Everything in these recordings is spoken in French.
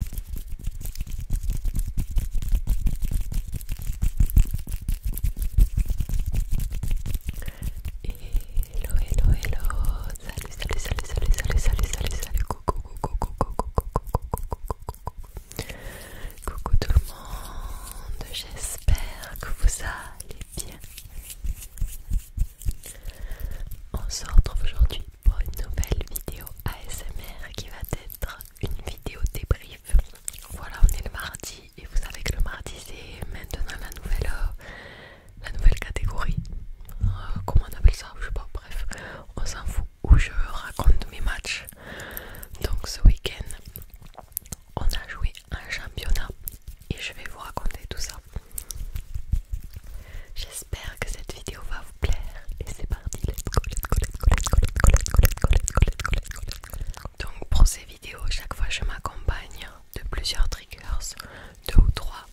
Hello, hello, hello. Salut, salut, salut, salut, salut, salut, salut, salut. Coucou, coucou, coucou, coucou, coucou, coucou. Coucou tout le monde. J'espère que vous allez bien. On se retrouve aujourd'hui pour une nouvelle vidéo ASMR qui va être une vidéo débrief. Voilà, on est le mardi et vous savez que le mardi c'est maintenant la nouvelle, euh, la nouvelle catégorie. Euh, comment on appelle ça Je sais pas, bref, on s'en fout où je raconte mes matchs. Donc ce week-end, on a joué un championnat et je vais vous raconter tout ça. J'espère J'espère que cette vidéo va vous plaire et c'est parti. Let's go, let's go, let's go, Donc pour ces vidéos, chaque fois je m'accompagne de plusieurs triggers, deux ou trois.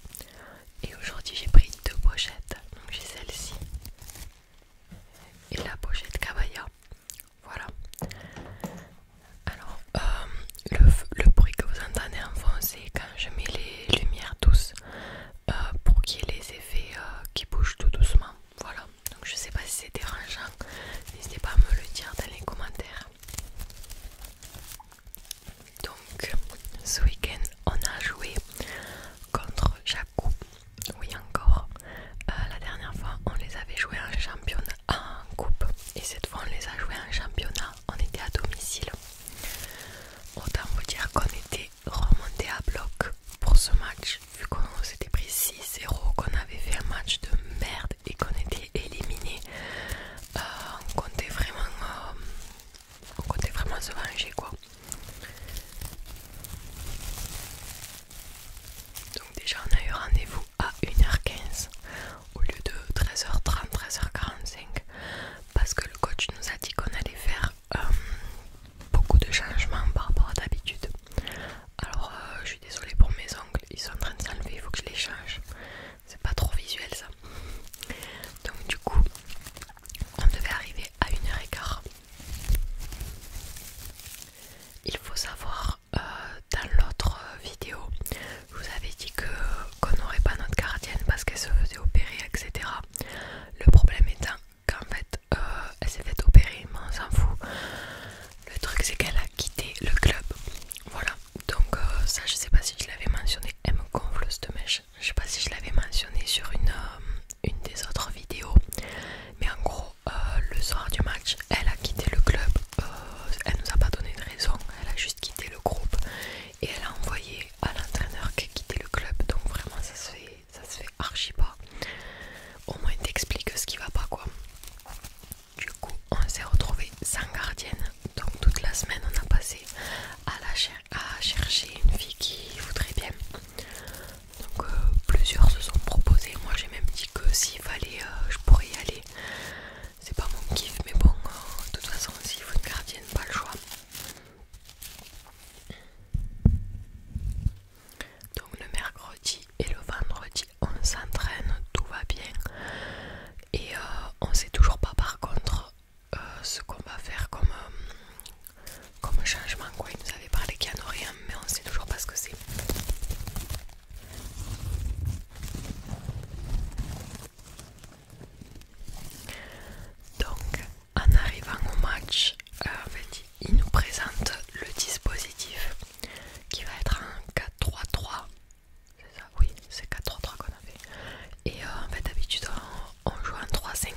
Et aujourd'hui j'ai pris deux pochettes. Donc j'ai celle-ci et la pochette Cabaya. Voilà. Alors le, bruit que vous entendez en fond, quand je mets les lumières douces. Euh, pour qu'il y ait les effets euh, qui bougent tout doucement. Voilà, donc je sais pas si c'est dérangeant, n'hésitez pas à me le dire dans les commentaires. Donc ce week-end on a joué contre coupe. oui encore. Euh, la dernière fois on les avait joués en championnat en coupe et cette fois on les a joués en championnat, on était à domicile. Autant vous dire qu'on était remonter à bloc pour ce match vu qu'on s'était pris 6-0, qu'on avait fait un match de merde et qu'on était éliminé. Euh, on comptait vraiment, euh, on comptait vraiment se venger quoi. Donc déjà on a eu rendez-vous à 1h15 au lieu de 13h30, 13h45 parce que le coach nous a dit qu'on allait faire euh, beaucoup de changements par rapport à d'habitude. Alors euh, je suis désolée pour mes ongles, ils sont en train de s'enlever, il faut que je les change. C'est pas trop visuel ça. Donc du coup, on devait arriver à 1h15. Il faut savoir, euh, dans l'autre vidéo, je vous avais dit que qu'on n'aurait pas notre gardienne parce qu'elle se faisait opérer, etc. Le problème étant qu'en fait, euh, elle s'est faite opérer, mais on s'en fout. Le truc, c'est qu'elle a quitté le club. Voilà, donc euh, ça, je sais pas si je l'avais mentionné. Elle me gonfle cette mèche. Je sais pas si je l'avais mentionné sur une, euh, une des autres vidéos, mais en gros, le soir du match, elle a quitté le club. elle nous a pas donné de raison, elle a juste quitté le groupe et elle a envoyé à l'entraîneur qui a quitté le club donc vraiment ça se fait ça se fait archi pas au moins t'explique ce qui va pas quoi du coup on s'est retrouvé sans gardienne donc toute la semaine on a passé à, la à chercher une fille qui voudrait bien donc euh, plusieurs se sont proposés moi j'ai même dit que s'il fallait euh, je pourrais y aller c'est pas mon kiff mais bon euh, de toute façon si faut une gardienne pas le choix donc le mercredi et le vendredi on s'entraîne tout va bien et euh, on sait toujours pas par contre euh, ce qu'on va faire comme, comme changement quoi il nous avait parlé qu'il y en aurait mais on sait toujours pas ce que c'est donc, en arrivant au match, euh, il nous présente le dispositif qui va être en 4-3-3. C'est ça, oui, c'est 4-3-3 qu'on a fait. Et euh, en fait, d'habitude, on, joue en 3-5-2.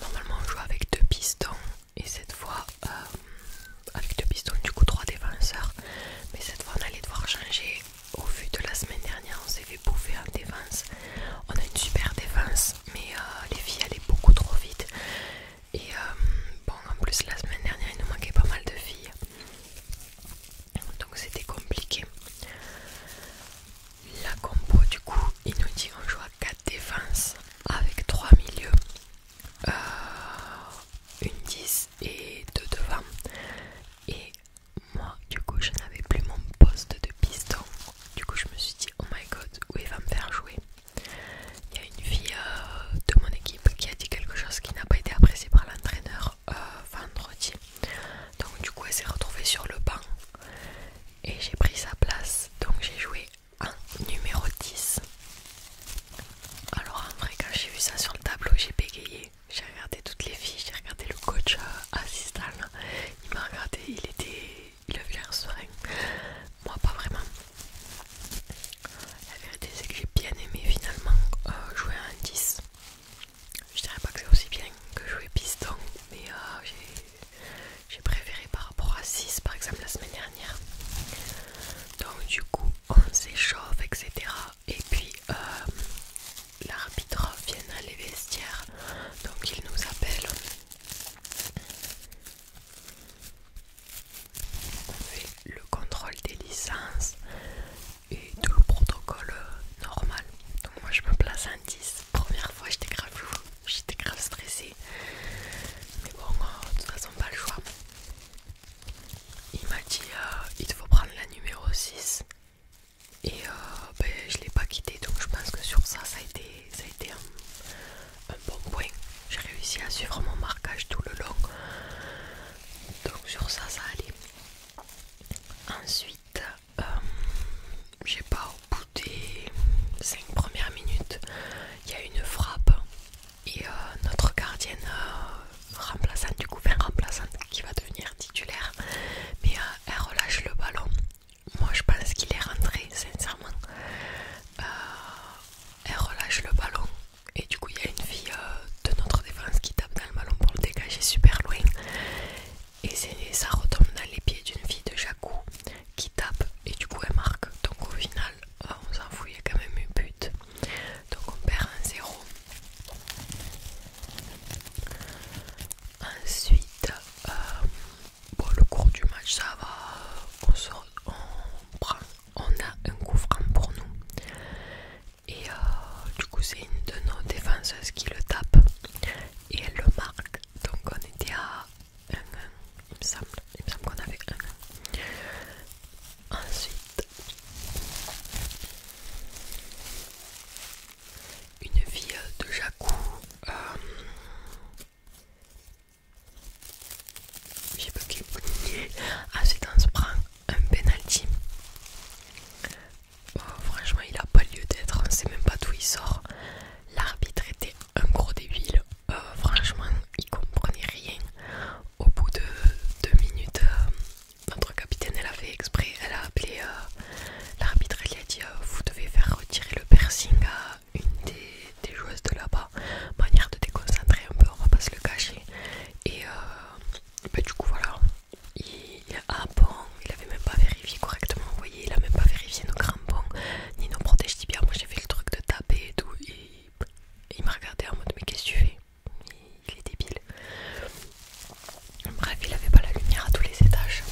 normalement, on joue avec deux pistons. Et cette fois, euh, avec deux pistons, du coup trois défenseurs. Mais cette fois on allait devoir changer. Au vu de la semaine dernière, on s'est fait bouffer en défense. On a une super défense, mais euh, les filles allaient beaucoup trop vite. Et euh, bon, en plus la semaine dernière, il nous manquait pas mal de filles. Donc c'était compliqué. La compo du coup, il nous dit on joue à 4 défenses avec 3 milieux, euh, une 10 et de devant. Et moi, du coup, je n'avais plus mon poste de piston. Du coup, je me suis dit, oh my god, où il va me faire jouer Il y a une fille euh, de mon équipe qui a dit quelque chose qui n'a pas été apprécié par l'entraîneur euh, vendredi. Donc, du coup, elle s'est retrouvée sur le banc et j'ai pris sa place. Donc, j'ai joué en numéro 10. Alors en vrai quand j'ai vu ça sur le tableau j'ai bégayé. J'ai regardé toutes les filles, j'ai regardé le coach euh, assistant. Il m'a regardé, il était. il avait l'air serein. Moi pas vraiment. La vérité c'est que j'ai bien aimé finalement euh, jouer en un 10. Je dirais pas que c'est aussi bien que jouer piston, mais euh, j'ai préféré par rapport à 6 par exemple la semaine dernière donc du coup on s'échauffe etc et puis euh, l'arbitre vient dans les vestiaires donc il nous appelle on fait le contrôle des licences et tout le protocole normal donc moi je me place en 10 première fois j'étais grave j'étais grave stressée mais bon de toute façon pas le choix il m'a dit euh, il faut prendre la numéro 6 et euh, ben, je l'ai pas quitté donc je pense que sur ça ça a été, un, bon point j'ai réussi à suivre mon marquage tout le long donc sur ça ça allait ensuite euh, j'ai pas au bout des 5 premières minutes il y a une frappe et euh, notre gardienne euh, remplaçante, du coup, fin remplaçante qui va devenir titulaire, mais euh, elle relâche le ballon. Moi je pense qu'il est rentré, sincèrement. elle relâche le ballon et du coup il y a une fille de notre défense qui tape dans le ballon pour le dégager super loin. Et ça retombe dans les pieds d'une fille de Jacou qui tape et du coup elle marque. Donc au final ah, on s'en fout, quand même eu but. Donc on perd un 0. Ensuite, euh, le cours du match, ça va. On, sort, on, prend, on a un coup pour nous. Et euh, du coup, c'est une de nos défenseuses qui le tape et elle le marque. Donc on était à un 1, il me semble. Il me semble qu'on avait un 1. Ensuite, une vie de Jacou. Euh, J'ai bugué. Ensuite, on se prend un penalty. Oh, franchement, il a pas lieu d'être, on sait même pas d'où il sort. L'arbitre était un gros débile. Euh, franchement il comprenait rien au bout de deux minutes euh, notre capitaine elle a fait exprès elle a appelé euh, l'arbitre elle lui a dit vous devez faire retirer le piercing à une des, joueuses de là-bas manière de déconcentrer un peu on va pas se le cacher et bah, du coup voilà il, a ah, bon il avait même pas vérifié correctement vous voyez il a même pas vérifié nos crampons ni nos protège bien, moi j'ai fait le truc de taper et tout il m'a regardé en mode mais qu'est-ce que tu fais il, est débile. Bref, il n'avait pas la lumière à tous les étages.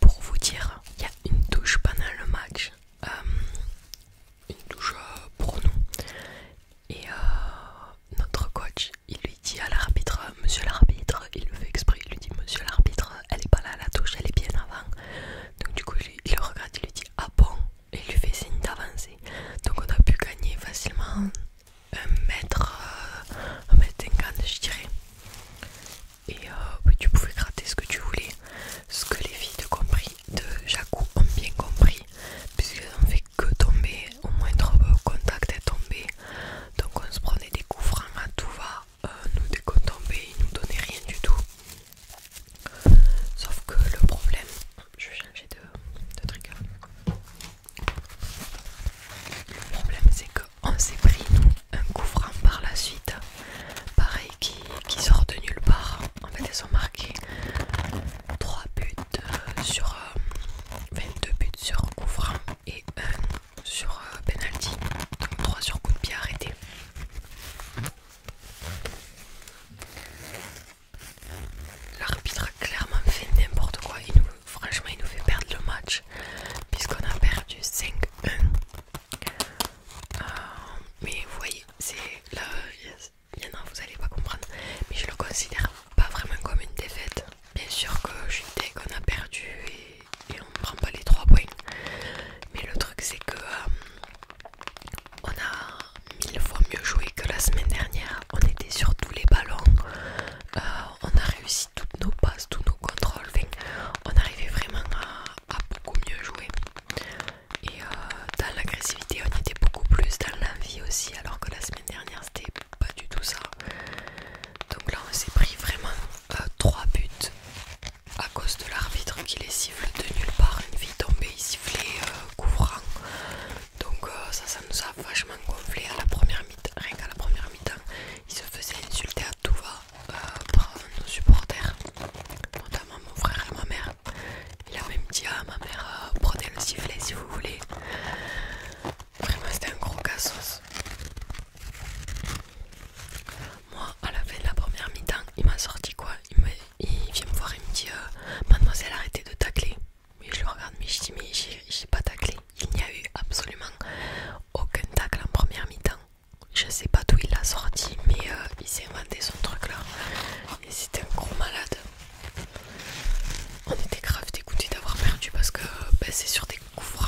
Pour vous dire, il y a une douche pendant le match, euh, une douche euh, pour nous. Et euh, notre coach, il lui dit à l'arbitre, monsieur l'arbitre, il le fait exprès, il lui dit monsieur l'arbitre, elle est pas là la touche, elle est bien avant. Donc du coup il le regarde, il lui dit ah bon et il lui fait signe d'avancer. Donc on a pu gagner facilement un mètre, euh, un je dirais. Et euh, tu pouvais gratter ce que tu voulais. Ce que les filles de, compris, de Jacou ont bien compris, puisqu'elles ont fait que tomber, au moins trop euh, contact est tombé. Donc on se prenait des coups francs à tout va. Euh, nous et ils nous donnaient rien du tout. Sauf que le problème, je vais changer de, hein. Le problème c'est qu'on s'est pris nous, un coup par la suite, pareil qui, sort de nulle part. En fait ils ont marqué 3 buts sur 22 buts sur coup et 1 sur penalty. Donc 3 sur coup de pied arrêté. L'arbitre a clairement fait n'importe quoi. Il nous, franchement, il nous fait perdre le match puisqu'on a perdu 5-1. Euh, mais vous voyez, c'est là, il y en a, vous allez pas comprendre. Mais je le considère pas vraiment comme une défaite. Bien sûr que je dès qu'on a perdu et et on ne prend pas les 3 points. Mais le truc c'est que euh, on a mille fois mieux joué que la semaine dernière. On était sur tous les ballons. Euh, on a réussi toutes nos passes, tous nos contrôles. on arrivait vraiment à, beaucoup mieux jouer. Et euh, dans l'agressivité, on était beaucoup plus dans l'envie aussi, alors que la semaine dernière, c'était pas du tout ça. Donc là, on s'est pris vraiment trois 3 buts à cause de l'arbitre qui les siffle de nulle part, une fille tombée, sifflait euh, couvrant. Donc euh, ça, ça nous a vachement gonflé à la première mi-temps. Rien qu'à la première mi-temps, il se faisait insulter à tout va euh, par nos supporters, notamment mon frère et ma mère. Il a même dit à ah, ma mère, prenez le sifflet si vous voulez. Vraiment, c'était un gros cassos. Moi, à la fin de la première mi-temps, il m'a sorti quoi il, vient me voir et me dit euh, Mademoiselle, arrêtez de tacler. Mais je le regarde, mais je dis Mais j'ai pas taclé. Il n'y a eu absolument aucun tacle en première mi-temps. Je sais pas d'où il l'a sorti, mais euh, il s'est inventé son truc là. Et c'était un gros malade. On était grave dégoûté d'avoir perdu parce que euh, ben, c'est sur des coups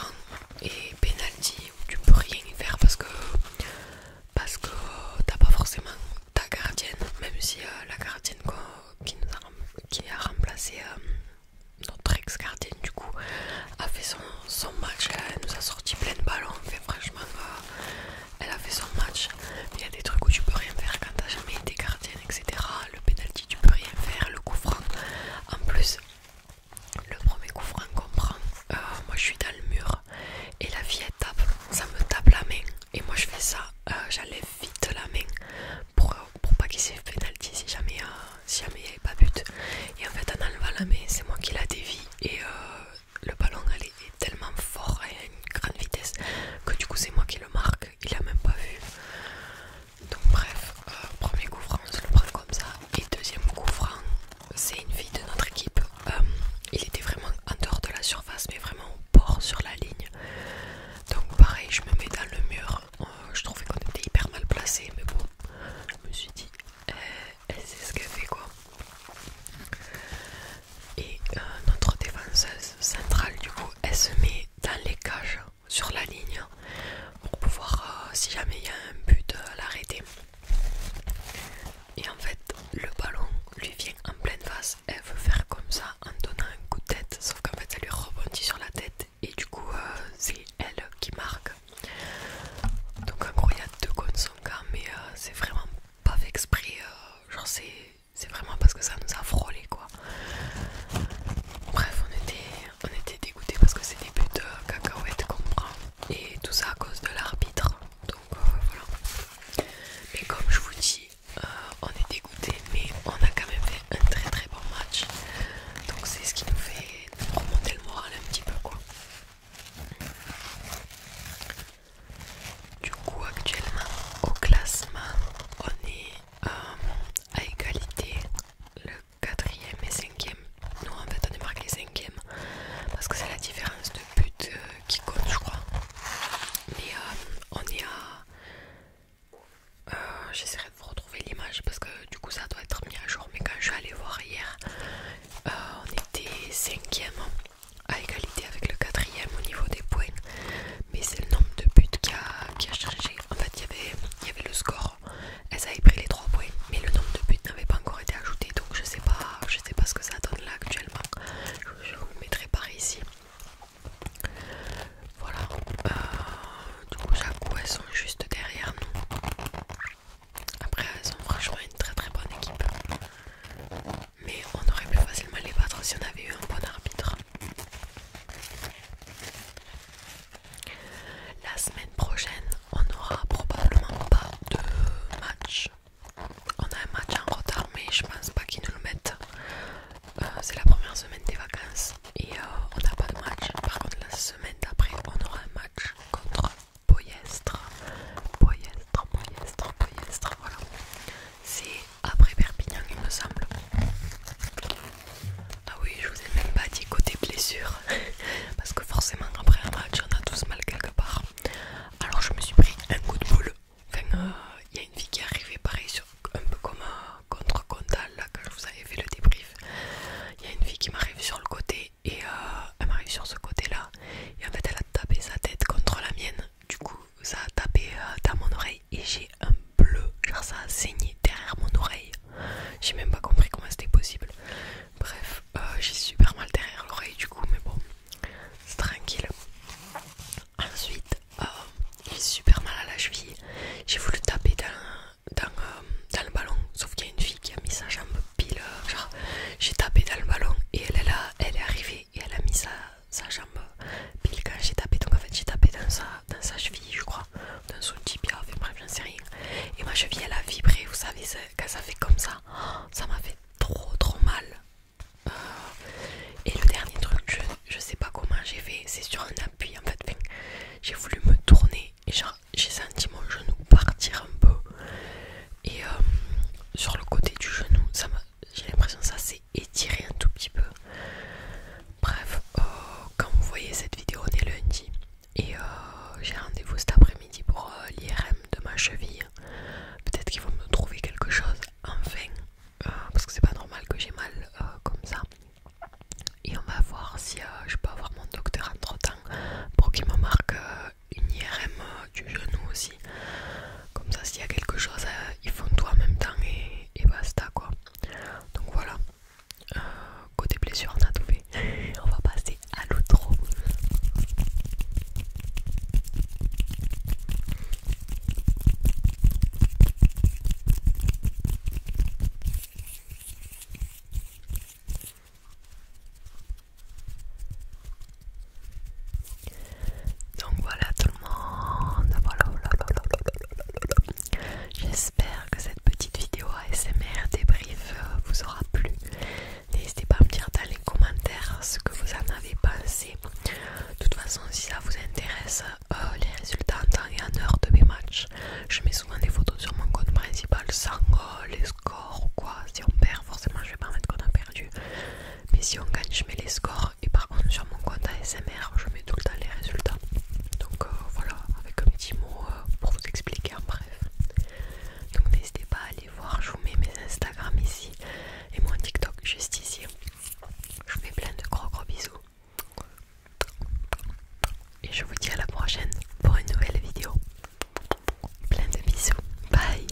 et penalty où tu peux rien y faire parce que parce que t'as pas forcément ta gardienne, même si euh, la gardienne qui nous a, qui a remplacé euh, notre ex-gardienne du coup a fait son, match, elle nous a sorti plein de ballons, fait franchement euh, elle a fait son match. Il y a des trucs où tu peux rien faire quand t'as jamais été gardienne, etc. Le penalty tu peux rien faire, le coup franc en plus le premier coup franc qu'on prend, euh, moi je suis dans le mur et la fille elle tape, ça me tape la main et moi je fais ça, euh, j'enlève vite la main pour, euh, pas qu'il s'est pénalty si jamais il n'y avait pas but. Et en fait en enlevant la main, c'est moi qui la dévie et le ballon allait tellement fort et à une grande vitesse que du coup c'est moi qui le marque, il a même pas vu. Donc bref, euh, premier coup franc, on le prend comme ça. Et deuxième coup franc, c'est une fille de notre équipe. Euh, il était vraiment en dehors de la surface, mais vraiment au bord sur la ligne. Donc pareil, je me mets dans le mur. Euh, je trouvais qu'on était hyper mal placé, mais bon, je me suis dit, eh, elle sait ce qu'elle fait quoi. Et notre défenseuse centrale, du coup, elle se met dans les cages sur la ligne pour pouvoir, euh, si jamais il y a un but, euh, à l'arrêter. Et en fait, le ballon lui vient en pleine face. Elle veut faire comme ça en donnant un coup de tête, sauf qu'en fait, ça lui rebondit sur la tête et du coup, euh, c'est elle qui marque. Donc, en gros, il y a deux cons son cas, mais c'est vraiment pas exprès. genre, c'est vraiment parce que ça nous a frôlé quoi. Bref, on était on était dégoûté parce que c'est des buts de cacahuètes qu'on prend et tout ça à cause de l'arbitre donc euh, voilà mais comme je vous dis euh, on est dégoûté mais on a quand même fait un très très bon match donc c'est ce qui nous fait remonter le moral un petit peu quoi du coup actuellement au classement on est euh, à égalité quatrième et cinquième. Nous en fait on est marqué cinquième parce que c'est la différence de but euh, qui compte je crois. Mais euh, on est à... Euh, j'essaierai de vous retrouver l'image parce que du coup ça doit être mis à jour. Mais quand je suis allée voir hier, on était cinquième à égalité avec le quatrième au niveau des points. Mais c'est le nombre de buts qui a, changé. En fait il y avait, y avait le score elles avaient pris les 3 points, mais le nombre de buts n'avait pas encore été ajouté, donc je sais pas, je sais pas ce que ça donne là actuellement. Je, vous mettrai par ici. Voilà. Euh, du coup, elles sont juste derrière nous. Après, elles ont franchement une très très bonne équipe. Mais on aurait pu facilement les battre si on avait eu un bon arbitre. La semaine prochaine, on aura probablement pas de match. On a un match en retard, mais je pense pas qu'ils nous le mettent. Euh, c'est la première semaine des vacances et euh, on n'a pas de match. Par contre, la semaine d'après, on aura un match contre Poyestre. Poyestre, Poyestre, Poyestre, voilà. C'est après Perpignan, il me semble. Ah oui, je vous ai même pas dit côté blessure, parce que forcément après un match on a tous mal quelque part. Alors je me suis pris un coup de boule. Enfin, il euh, y a une fille qui est arrivée pareil, un peu comme euh, contre Condal, là, que je vous avais fait le débrief. Il y a une fille qui m'arrive sur le côté et euh, elle m'arrive sur ce côté-là. Et en fait, elle a tapé sa tête contre la mienne. Du coup, ça a tapé dans mon oreille et j'ai un bleu, genre ça a saigné derrière mon oreille. J'ai même pas compris comment c'était possible. Bref, euh, j'ai super mal derrière l'oreille du coup, mais bon, c'est tranquille. Ensuite, euh, j'ai super mal à la cheville. J'ai voulu taper dans, euh, dans, le ballon, sauf qu'il y a une fille qui a mis sa jambe pile. genre, j'ai tapé dans le ballon et elle est là, elle est arrivée et elle a mis sa, sa jambe pile quand j'ai tapé. Donc en fait, j'ai tapé dans dans sa cheville, je crois dans son tibia, fait bref, j'en sais rien. Et ma cheville, elle a vibré, vous savez, quand ça fait comme ça, ça m'a fait trop trop mal. Euh, et le dernier truc, je, sais pas comment j'ai fait, c'est sur un appui en fait. j'ai voulu me tourner et j'ai senti mon genou partir un peu. Et euh, sur le côté du genou, j'ai l'impression que ça s'est étirer un tout petit peu. Bref, euh, quand vous voyez cette vidéo, on est lundi et euh, j'ai rendez-vous cet après-midi pour euh, l'IRM de ma cheville. Peut-être qu'ils vont me trouver quelque chose enfin, parce que c'est pas normal que j'ai mal comme ça. Et on va voir si je peux avoir mon docteur entre temps pour qu'il me marque une IRM du genou aussi. Comme ça, s'il y a quelque chose, ils font tout en même temps et, et basta quoi. Donc voilà, euh, côté blessure, on a tout fait. on va passer à l'outro. Donc voilà tout le monde, voilà, J'espère que cette petite vidéo ASMR débrief euh, vous aura plu. N'hésitez pas à me dire dans les commentaires ce que vous en avez pensé. De toute façon, si ça vous intéresse, euh, les résultats en temps et en heure de mes matchs, je mets souvent des photos sur mon compte principal sans euh, les scores ou quoi. Si on perd, forcément, je vais pas mettre qu'on a perdu. Mais si on gagne, je mets les scores et par contre sur mon compte ASMR je mets tout le temps les résultats. Donc euh, voilà, avec un petit mot euh, pour vous expliquer bref. Donc n'hésitez pas à aller voir, je vous mets mes Instagram ici et mon TikTok juste ici. Je vous fais plein de gros gros bisous. Et je vous dis à la prochaine pour une nouvelle vidéo. Plein de bisous. bye.